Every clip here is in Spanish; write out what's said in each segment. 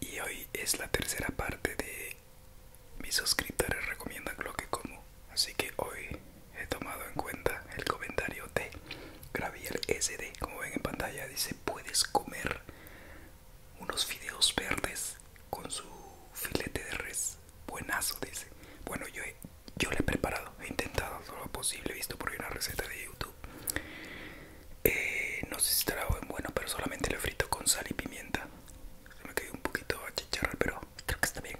Y hoy es la tercera parte de mis suscriptores recomiendan lo que como. Así que hoy he tomado en cuenta el comentario de Graviel SD. Como ven en pantalla, dice: Puedes comer unos fideos verdes con su filete de res buenazo, dice. Bueno, yo yo lo he preparado, he intentado todo lo posible, he visto por ahí una receta de YouTube. Eh, no sé si estará bueno, pero solamente lo frito con sal y pimienta. Se me quedó un poquito a chicharra, pero creo que está bien.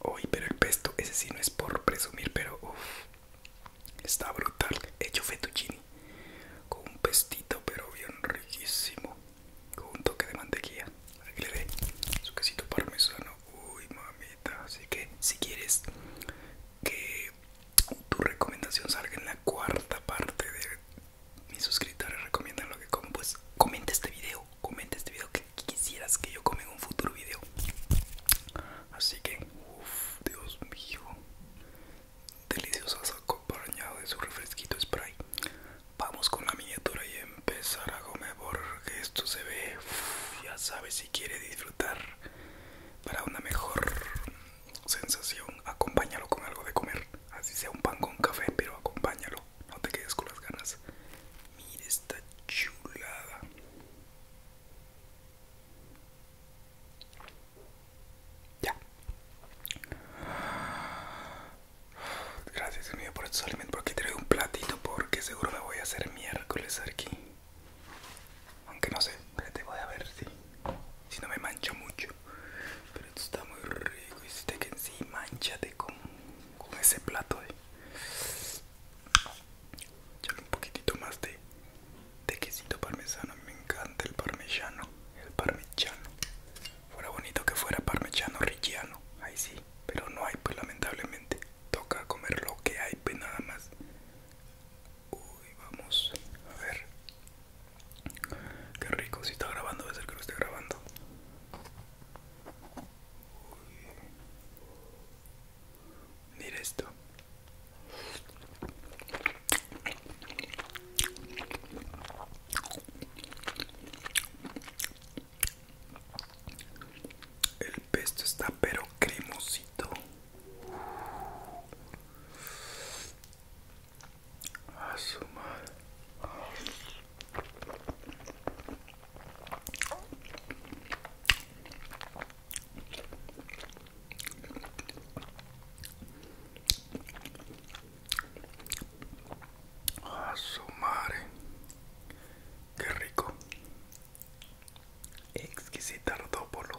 Hoy, pero el pesto, ese sí no es por presumir, pero está brutal. He hecho fettuccini con un pestito, pero bien riquísimo con un toque de mantequilla para que le dé su quesito parmesano uy mamita así que si quieres que tu recomendación salga en la cuarta parte de mis suscriptores recomiendan lo que como pues comenta este video comenta este video que quisieras que yo come en un futuro video así que uff dios mío delicioso acompañado de su refresquito spray Vamos con la miniatura y empezar a comer porque esto se ve, ya sabes si quiere disfrutar para una mejor sensación, acompáñalo con algo de comer, así sea un pan con café, pero acompáñalo, no te quedes con las ganas. Mira esta chulada. Ya. Gracias, unido mío, por estos alimentos. Por aquí traigo un platito porque seguro me voy a hacer miércoles aquí. Aunque no sé, te voy a ver si, si no me mancho mucho. Pero esto está muy rico. Y si te que sí, manchate con, con ese plato. Eh. un poquitito más de, de quesito parmesano. Me encanta el parmesano. El parmesano. Fuera bonito que fuera parmechano rigiano, ahí sí, pero no hay pues lamentablemente. Toca comer lo que hay pues nada más. Uy, vamos, a ver. Qué rico, si está grabando, a ser que lo esté grabando. Uy. Mira esto. El pesto está pero cremosito. A a ah, su madre. Qué rico. Exquisita ardópolo.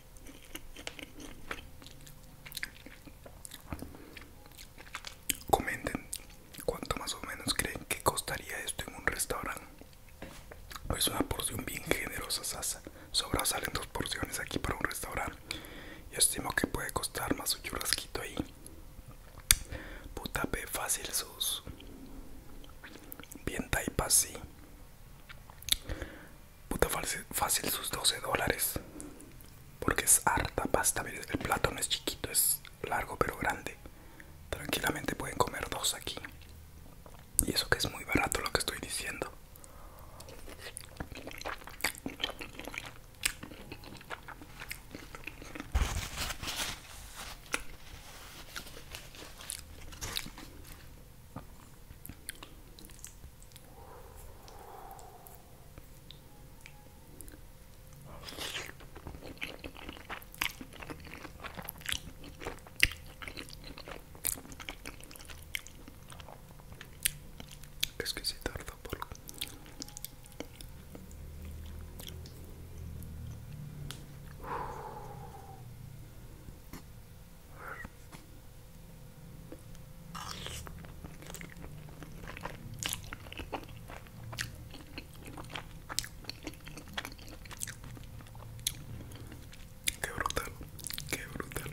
Comenten cuánto más o menos creen que costaría esto en un restaurante. Es una porción bien generosa, Sasa. Sobra salen dos porciones aquí para un restaurante. Yo estimo que puede costar más un churrasquito ahí. Puta, fácil sus. Bien Taipa así puta fácil sus 12 dólares. Porque es harta pasta. El plato no es chiquito, es largo pero grande. Tranquilamente pueden comer dos aquí. Y eso que es muy barato lo que estoy diciendo. Es que se tarda por... Qué brutal, qué brutal.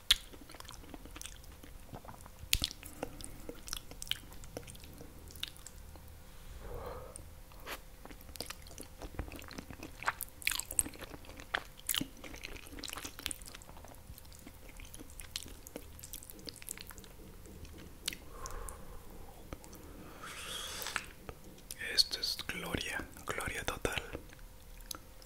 Esto es gloria, gloria total.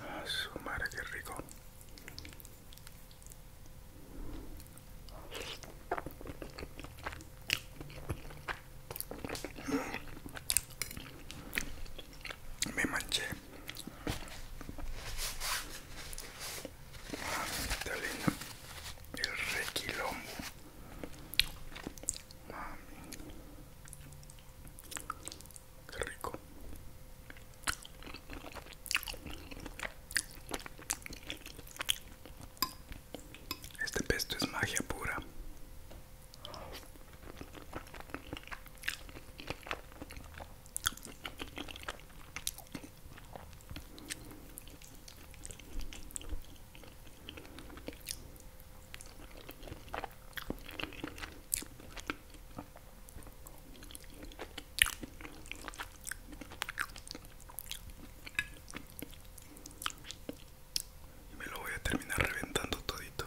Ah, su madre, qué rico. Me manché. Está lindo. El requilón, Mami. Qué rico. Este pesto es magia pura. Me lo voy a terminar reventando todito.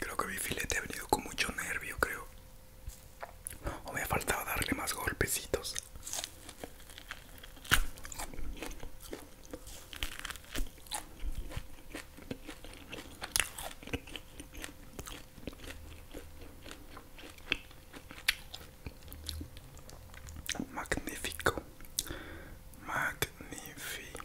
Creo que mi filete ha venido con mucho nervio, creo. O me ha faltado darle más golpecitos. Magnífico, magnífico.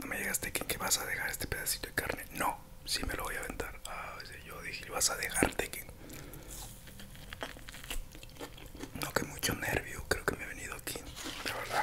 no me llegaste que vas a dejar este pedacito de carne. No, si me lo voy a aventar. Ah, pues, yo dije, vas a dejarte que. No, que mucho nervio, creo que me he venido aquí, la verdad.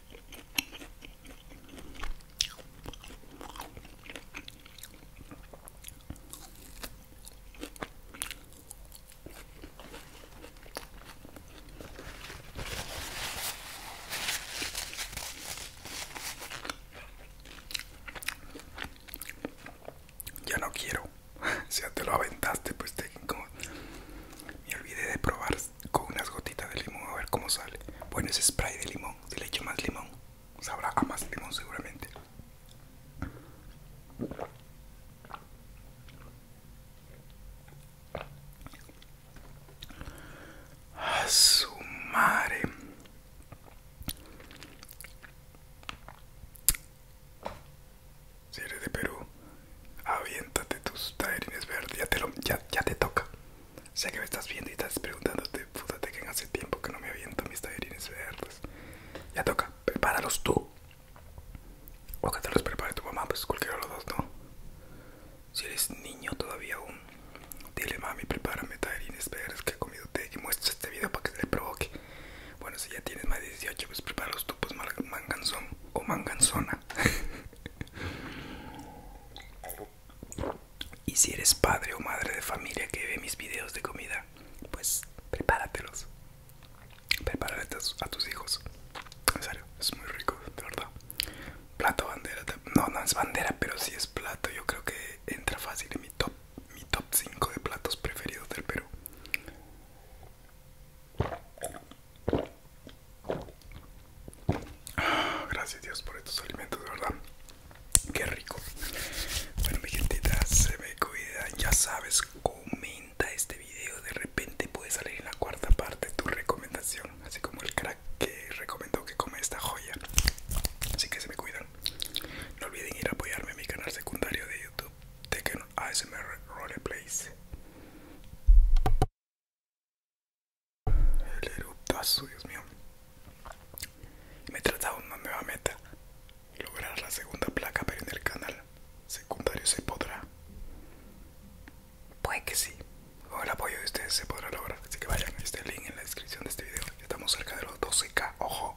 Ya no quiero. Si ya te lo aventaste, pues te, como, me olvidé de probar con unas gotitas de limón a ver cómo sale. Bueno, ese spray de limón. Si le echo más limón, sabrá a más limón seguramente. A su madre. Si eres de Perú, aviéntate tus taerines verdes, ya te, ya, toca. Sé que me estás viendo y estás preguntándote, fúdate que hace tiempo que no me aviento mis taerines verdes. Ya toca, prepáralos tú. O que te los prepare tu mamá, pues cualquiera de los dos, ¿no? Si eres niño todavía aún, dile mami, prepárame taerines verdes que he comido té que muestra este video para que te le provoque. Bueno, si ya tienes más de 18, pues prepáralos tú, pues manganzón o manganzona. y si eres padre o madre de familia que ve mis videos de comida, pues prepáratelos. Prepárate a tus hijos. es muy rico, de verdad. Plato bandera, no, no es bandera, pero sí es plato. Yo creo que entra fácil en mi top, mi top 5 de platos preferidos del Perú. gracias Dios por estos alimentos, de verdad. Qué rico. Bueno, mi gentita, se me cuida. Ya sabes, comenta este video. De repente puede salir en la cuarta parte tu recomendación. Así como el crack que recomendó que come esta joya. Así que se me cuidan. No olviden ir a apoyarme en mi canal secundario de YouTube Tekken ASMR Roleplays. El Dios mío. Me de una nueva meta: lograr la segunda placa, pero en el canal secundario se podrá. Puede que sí, con el apoyo de ustedes se podrá lograr. Así que vayan a este link en la descripción de este video. Estamos cerca de los 12k, ojo.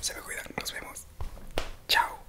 Se me cuidan, nos vemos. Chao.